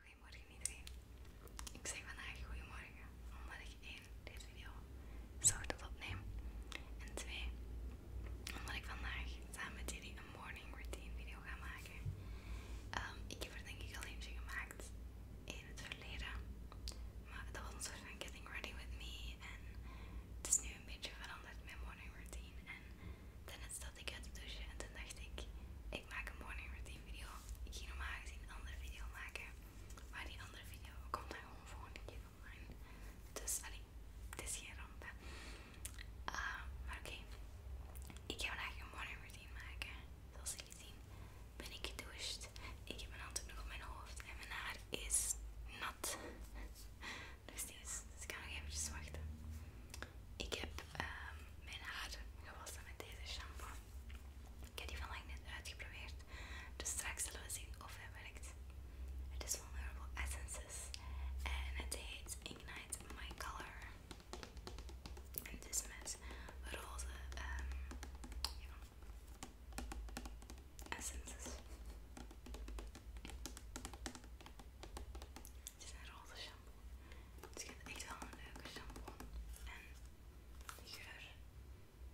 Goedemorgen iedereen. Ik zeg vandaag goedemorgen omdat ik één deze video ochtends opneem en twee omdat ik vandaag samen met jullie een morning routine video ga maken. Um, ik heb er denk ik al eentje gemaakt in het verleden, maar dat was een soort van getting ready with me en het is nu een beetje veranderd mijn morning routine en dan stapte ik uit de douchen en toen dacht ik, ik maak een morning routine video. Ik ging normaal gezien een andere video maken, maar die andere video komt dan gewoon volgende keer online. Dus allee, het is geen ramp. Ah, maar oké, ik ga vandaag een morning routine maken. Zoals jullie zien ben ik gedoucht. Ik heb een handdoek nog op mijn hoofd en mijn haar is nat. Dus, dus ik kan nog eventjes wachten. Ik heb ehm, mijn haar gewassen met deze shampoo. Ik heb die lang net uitgeprobeerd. Dus straks zullen we zien of hij werkt. Het is van Herbal Essences. En het heet Ignite My Color. En het is met roze ehm, essences. Het is een roze shampoo het ik echt wel een leuke shampoo. En de geur.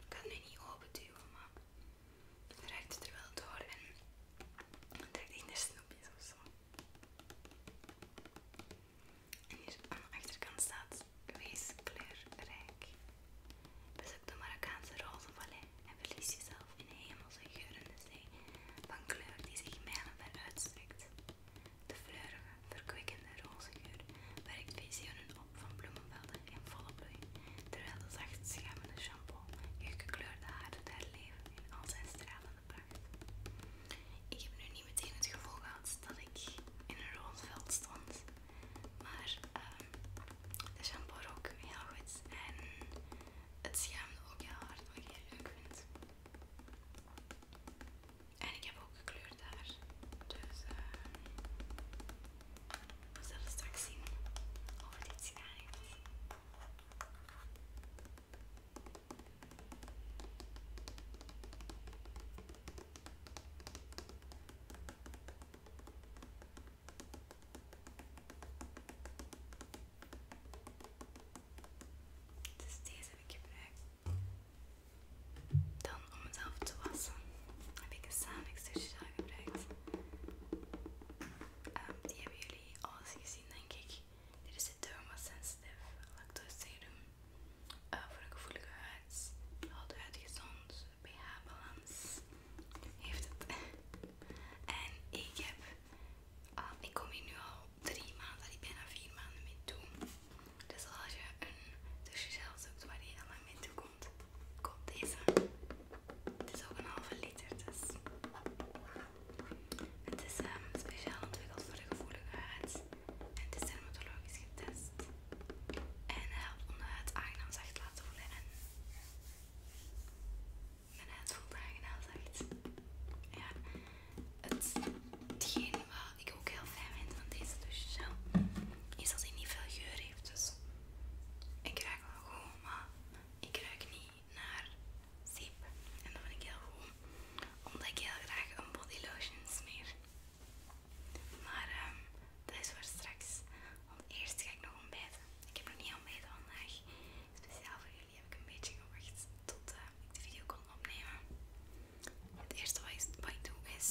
Ik kan het nu niet duwen, maar het ruikt het er wel door en het in de snoepjes of zo. En hier aan de achterkant staat wees kleurrijk. Bezoek de Marokkaanse Rozenvallei en verlies jezelf in hemelse geurende zee van kleur die zich mijlen ver uitstrekt. De fleurige, verkwikkende rozengeur werkt visioenen op van bloemenvelden in volle bloei, terwijl de zacht schuimende shampoo je gekleurde haar daar herleven in al zijn stralende pracht. Ik heb nu niet meteen het gevoel gehad dat ik in een roze veld stond, maar ehm, de shampoo rook heel goed en het schuimde ook heel hard, wat ik leuk vind. En ik heb ook gekleurd daar, Dus uh, we straks zien over dit iets dus deze heb ik gebruikt. Dan om mezelf te wassen heb ik een Sanix-douchegel gebruikt. Ehm, die hebben jullie alles gezien, denk ik. Dit is de Derma Sensitive Lactose Serum eh, voor een gevoelige huid. Houdt uitgezond gezond, pH-balans heeft het. en ik heb Ah, ik kom hier nu al 3 maanden, al bijna vier maanden mee toe. Dus als je een tussenzelf zoekt waar je heel lang mee toe komt, koop deze. Het is ook een halve liter, dus. Het is ehm, speciaal ontwikkeld voor de gevoelige huid. En het is dermatologisch getest. En helpt onder het huid aangenaam zacht te laten voelen mijn huid voelt en zacht. Ja, het, hetgeen wat ik ook heel fijn vind van deze douchegel is dat hij niet veel geur heeft. Dus ik ruik wel gewoon maar ik ruik niet naar zeep. En dat vind ik heel goed, omdat ik heel graag een body lotion smeer. Maar ehm, dat is voor straks, want eerst ga ik nog ontbijten. Ik heb nog niet ontbijten vandaag, speciaal voor jullie. Die heb ik een beetje gewacht tot eh, ik de video kon opnemen. Het eerste wat ik, wat ik doe is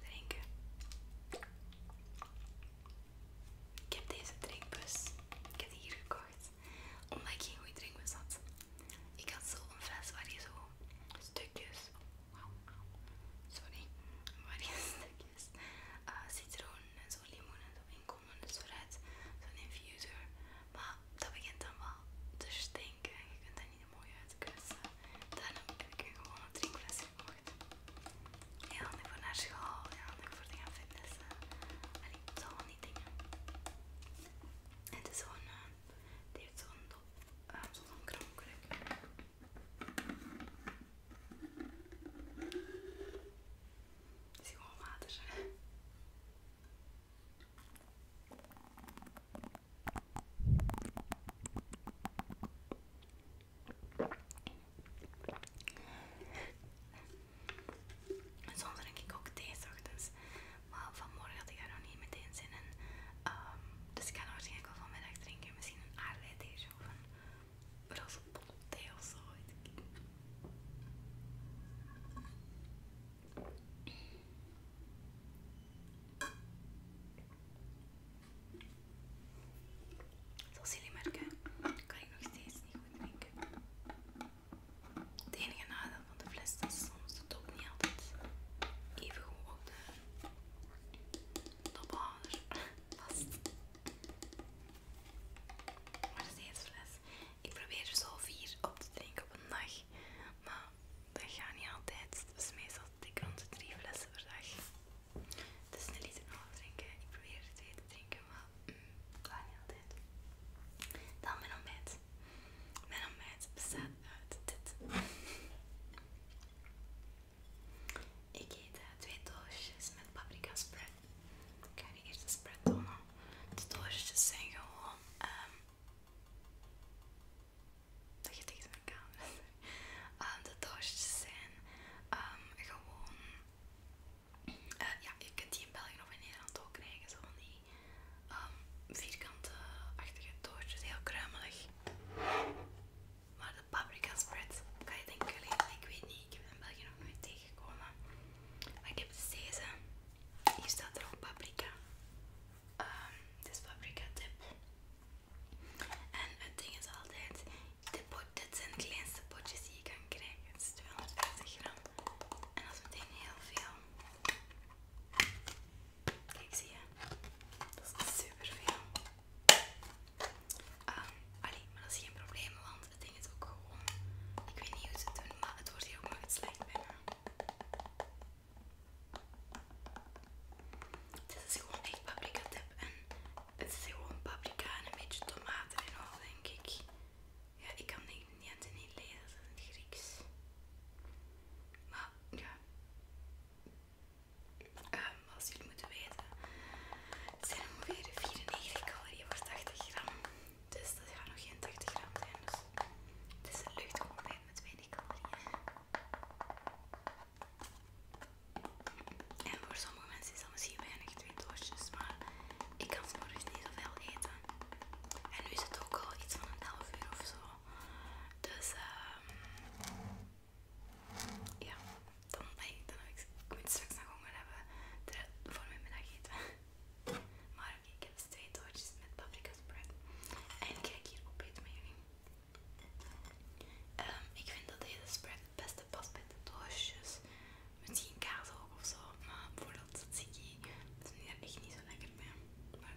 drinken. Ik heb deze drinkbus, ik heb die hier gekocht, omdat ik geen goede drinkbus had. Ik had zo'n fles waar je zo stukjes, Wauw. sorry, waar je stukjes eh, citroen en zo limoen en zo komen. Dus vooruit zo'n infuser. Maar dat begint dan wel te stinken. je kunt daar niet mooi uitkussen. Daarom heb ik gewoon een gewone drinkfles gekocht. Heel handig voor naar school. Heel handig voor te gaan fitnessen. En ik zal wel niet dingen. Het is zo'n... Uh, heeft zo'n uh, eh, zo kromkruk. Het is gewoon water. En soms drink ik ook thee s ochtends. Maar vanmorgen had ik daar nog niet meteen zin in. Ehm, dus ik ga waarschijnlijk wel vanmiddag drinken. Misschien een aardbei of een Mas eu sou um Deus hoje. Zoals jullie merken, kan ik nog steeds niet goed drinken. Het enige nadeel van de fles is soms dat het ook niet altijd even goed op de tophanger vast. Waar is deze fles? Ik probeer er zo vier op te drinken op een dag, maar dat gaat niet altijd. is dus meestal dik ik rond de drie flessen per dag. Het is een liter nog drinken. Ik probeer er twee te drinken, maar mm, dat gaat niet altijd. Dan mijn ontbijt. Mijn ontbijt bestaat uit dit. Ik eet eh, twee doosjes met paprika spread. Ik ga je eerst de spread tonen. De doosjes dus zijn gewoon um, dat je mijn camera ehm, De doosjes dus zijn ehm, gewoon. Eh, ja, je kunt die in België of in Nederland ook krijgen. zo'n van die vierkante achtige doosjes, heel kruimelig paprika spread. Kan je denken jullie? Ik weet niet, ik heb het in België nog nooit tegengekomen. Maar ik heb deze. Hier staat er ook paprika. dit ehm, is paprika tip. En het ding is altijd, dit, zijn de kleinste potjes die je kan krijgen. Het is 250 gram. En dat is meteen heel veel. Kijk, zie je? Dat is super veel. Ah, allee, maar dat is geen probleem, want het ding is ook gewoon... Ik weet niet hoe ze het doen, maar het wordt hier ook nog iets bij me. Dit is dus gewoon echt paprika tip en het is gewoon paprika en een beetje tomaten en al, denk ik. Ja, ik kan dit niet, niet lezen, het Grieks. Maar ja, Ehm, als jullie moeten weten, het zijn ongeveer 94 calorieën voor 80 gram. Dus dat gaat nog geen 80 gram zijn. Dus het is een luchtcontainer met weinig calorieën. En voor sommige mensen is dat misschien weinig, twee doosjes, maar ik kan s'morgens niet zoveel eten. En nu is het ook al iets van een half uur of zo. Dus ehm, ja, dan, hey, dan heb ik, straks nog honger hebben voor mijn middageten. Maar oké, ik heb dus twee met paprika spread. En ik ga hier opeten met jullie. Ehm, ik vind dat deze spread het beste past bij de doosjes. Misschien kaas ook of zo, maar bijvoorbeeld tzatziki is nu echt niet zo lekker bij. Maar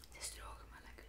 Het is droog, maar lekker.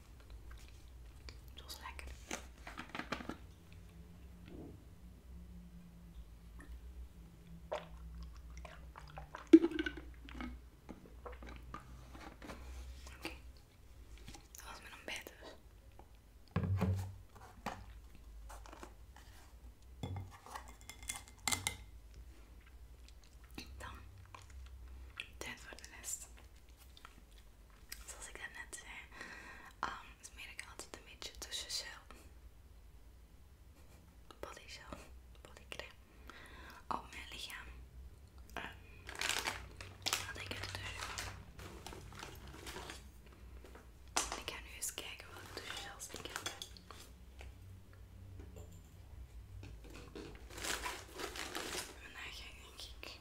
Het was lekker. Oké. Dat was mijn ontbijt dus. Dan tijd wordt de rest. Zoals ik net zei, smeer ehm, ik altijd een beetje tussen zelf. Body bodycreme op mijn lichaam. Ehm, wat ik er doe. Ik ga nu eens kijken welke douchegels ik heb. Vandaag ga ik denk ik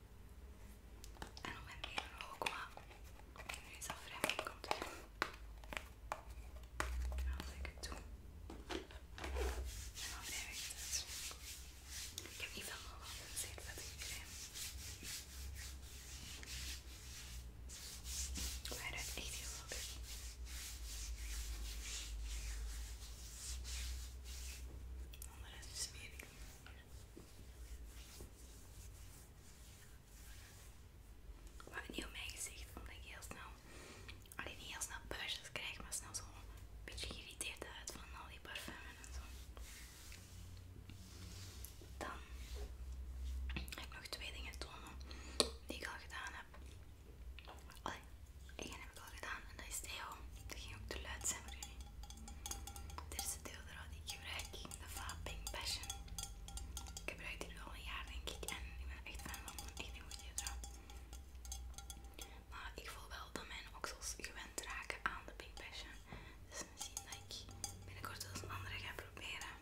En dan mijn benen ook, maar nu is dat vrij moeilijk Als ik het doe, en dan blijf ik het. Ik heb niet veel nodig om een zeetvettige crème. Maar hij ruikt echt heel lekker. is het smerig maar niet op mijn gezicht, omdat ik heel snel, alleen niet heel snel puistjes krijg, maar snel zo een beetje geïrriteerd uit van al die parfums en zo. Dan ga ik nog twee dingen tonen die ik al gedaan heb. Allee, één heb ik al gedaan en dat is heel Dat ging ook te luid zijn voor jullie. Dit is de deodorant die ik gebruik. De Fab Pink Passion. Ik gebruik die nu al een jaar denk ik. En ik ben echt fan van een echt een goed Maar ik voel wel dat mijn oksels gewend raken aan de Pink Passion. Dus misschien dat ik binnenkort wel eens een andere ga proberen.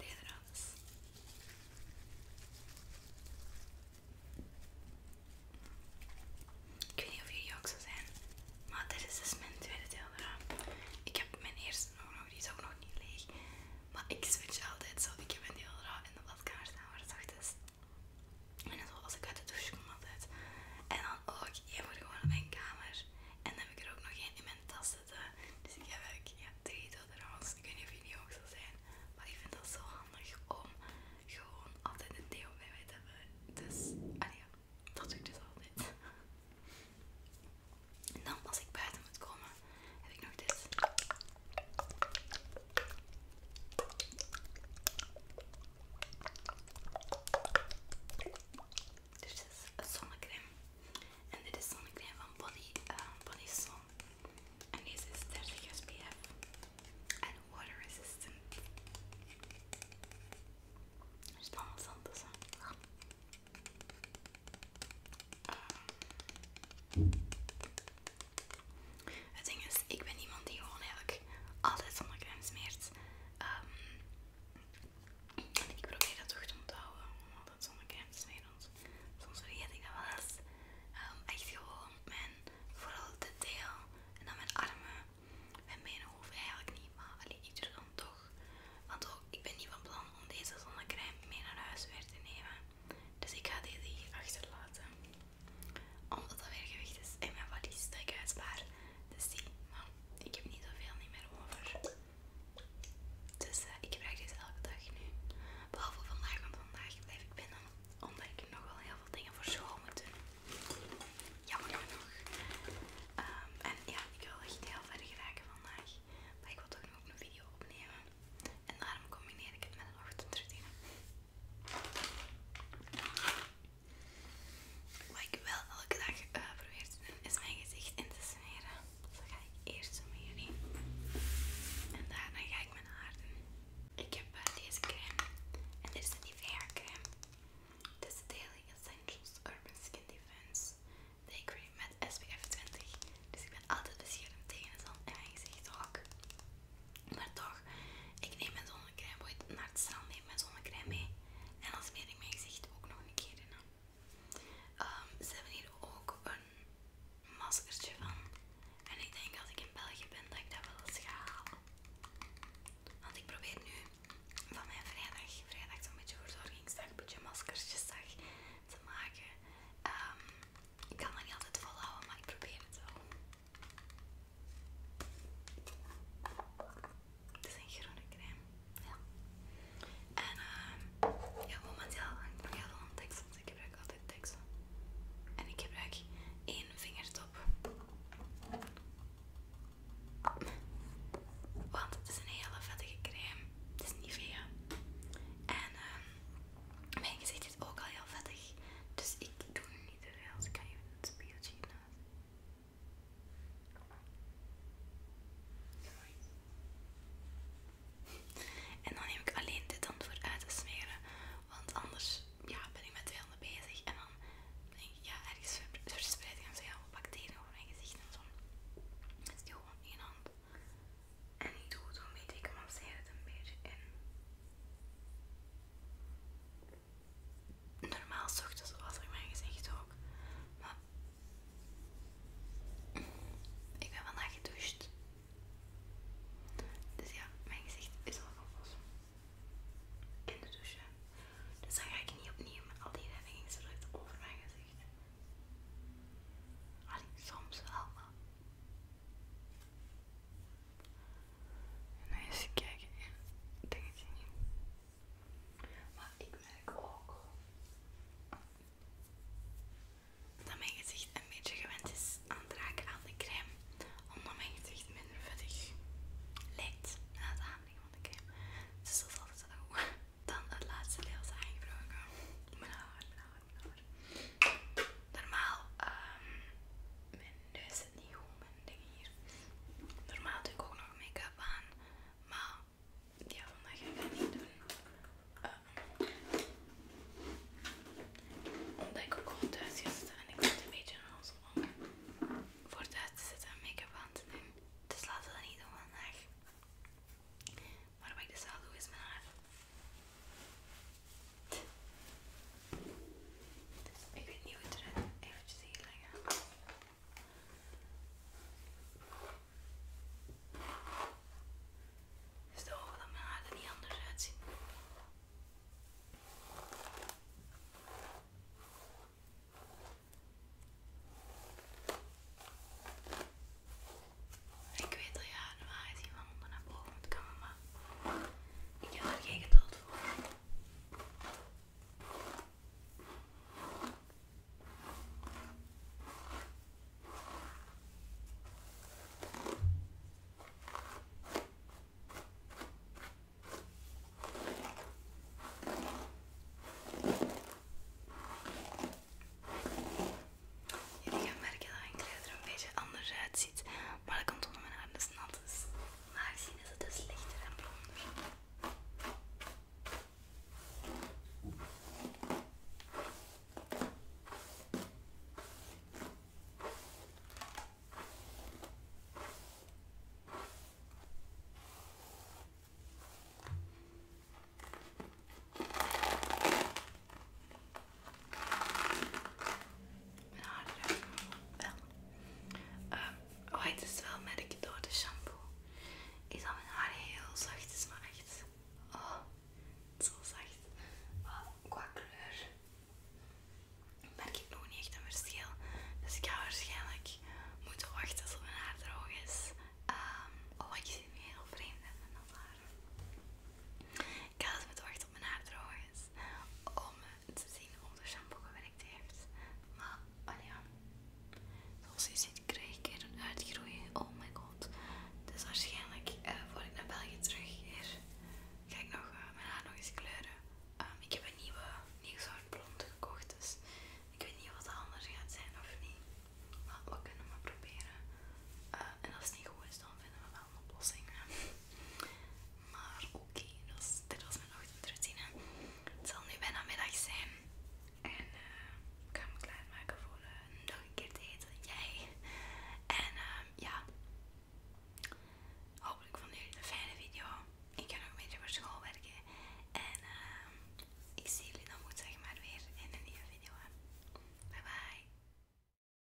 Nederlands. Ik weet niet of jullie ook zo zijn, maar dit is dus mijn tweede deel Ik heb mijn eerste nog, die is ook nog niet leeg. Maar ik switch altijd zo. Ik heb een deel in de badkamer staan waar het zacht is. En zoals ik uit de douche kom altijd. En dan ook oh, je moet gewoon op mijn kamer. En dan heb ik er ook nog geen in mijn dat Dus ik heb eigenlijk ja, drie Ik weet niet of die ook zo zijn. Maar ik vind dat zo handig om gewoon altijd een deel bij mij te hebben. Dus, ah ja, dat doe ik dus altijd. En dan als ik buiten moet komen, heb ik nog dit. Dus- dit dus is een zonnecrème. En dit is zonnecrème van Body, uh, Sun. En deze is 30 SPF. En water resistant. Er is allemaal zand te Uh. Eh. Het ding is, ik ben iemand die gewoon eigenlijk altijd zonnecrème smeert. Ehm ik probeer dat toch te onthouden, omdat sommige is meer ons. Soms vergeet ik dat wel eens. Ehm, echt gewoon mijn, vooral de deel en dan mijn armen. Mijn benen hoeven eigenlijk niet, maar alleen ik doe dan toch. Want ook, ik ben niet van plan om deze zonnecrème mee naar huis weer te nemen. Dus ik ga deze hier achterlaten. Omdat dat weer gewicht is in mijn valies dat ik Dus die, maar ik heb niet zoveel niet meer over. Dus eh, ik gebruik deze elke dag nu. Behalve vandaag, want vandaag blijf ik binnen. Omdat ik nog wel heel veel dingen voor school moet doen. Jammer genoeg. Ehm, en ja, ik wil echt heel ver geraken vandaag. Maar ik wil toch nog een video opnemen. En daarom combineer ik het met een ochtendroutine. Wat ik wel elke dag eh, probeer te doen, is mijn gezicht in te smeren. Dus dat ga ik eerst doen met jullie. En daarna ga ik mijn haar Ik heb eh, deze crème. En dit is een Nivea crème. Dit is Daily Essentials Urban Skin Defense Day Cream met SPF 20. Dus ik ben altijd beschermd tegen de zon en mijn gezicht ook. Maar toch, ik neem mijn zon ik heb naar het strand neem mijn zonnecrème mee. En dan smeer ik mijn gezicht ook nog een keer in. Ehm, ze hebben hier ook een maskertje van. En ik denk als ik in België ben dat ik dat wel eens ga halen. Want ik probeer nu van mijn vrijdag, vrijdag zo'n beetje verzorgingsdag, een beetje maskertjesdag te maken. Ehm, ik kan dat niet altijd volhouden, maar ik probeer het wel. Het is een groene crème. Ja. En eh, ja, momenteel ik nog heel veel tekst, want ik gebruik altijd tekst. En ik gebruik één vingertop. Want het is een hele vettige crème. Het is niet Nivea. En eh. mijn gezicht is ook al heel vettig. Dus ik doe niet te veel. Dus ik ga even het spiegeltje naast. En dan neem ik alleen dit dan voor uit te smeren. Want anders ja, ben ik met twee handen bezig. En dan ben ik ja, ergens verspreid ik heel alle bacteriën over mijn gezicht en zo. Dus die doe gewoon één hand. En ik doe het een beetje, ik masseer het een beetje in normaal s ochtends was er mijn gezicht ook. Maar ik ben vandaag gedoucht. Dus ja, mijn gezicht is al gewassen. In de douche. Dus dan ga ik niet opnieuw met al die reddingsdrukken over mijn gezicht. alleen soms wel, wel. En dan eens kijken en dingetje niet. Maar ik merk ook dat mijn gezicht een beetje gewend is aan het raken aan de crème, omdat mijn gezicht minder vettig lijkt na het aanbrengen van de crème. Dus dat is altijd zo goed. Dan het laatste deel is aangebroken. maar, haar, mijn haar, Normaal, ehm dat is het niet goed mijn ding hier. Normaal doe ik ook nog make-up aan, maar ja, vandaag ga ik dat niet doen. Eh, omdat ik ook gewoon thuis ga zitten en ik zit een beetje onzin om voor thuis te zitten en make-up aan te doen. Dus laten we dat niet doen vandaag. Maar wat ik dus al doe is mijn haar. Ik weet niet hoe het eruit eventjes hier leggen. Dus de ogen dat mijn haar er niet anders uitzien. Ik weet dat je haar normaal gezien van onder naar boven moet komen, maar ik heb er geen geduld Jullie gaan merken dat mijn kleding er een beetje anders uitziet, maar dat komt onder mijn haar dus nat normaal gezien is het dus lichter en blonder. Mijn haar ruikt wel. Um, eh, ik wel merk door de shampoo. Is dat mijn haar heel zacht is, maar echt. Oh, zo zacht. Oh, qua kleur merk ik nog niet echt een verschil. Dus ik ga waarschijnlijk moeten wachten tot mijn haar droog is. Um, oh, ik het nu heel vreemd van mijn haar. Ik had dus moeten wachten op mijn haar droog is Om eh, te zien of de shampoo gewerkt heeft. Maar, oh ja. Zoals je ziet krijg ik er een uitgroeien Oh my god. Dus waarschijnlijk eh, voor ik naar België terug keer ga ik nog, eh, mijn haar nog eens kleuren. Ehm, ik heb een nieuwe, nieuw soort blonde gekocht. Dus ik weet niet wat het anders gaat zijn of niet. Maar we kunnen maar proberen. en als het niet goed is, dan vinden we wel een oplossing. Maar oké, okay, dit was mijn ochtendroutine. Het zal nu bijna middag zijn. En eh, ik ga me klaarmaken voor eh, nog een keer te eten. Jij. En ehm, ja. Hopelijk vonden jullie een fijne video. Ik ga nog een beetje voor school werken. En ehm, ik zie jullie dan moet zeg maar weer in een nieuwe video. Bye bye.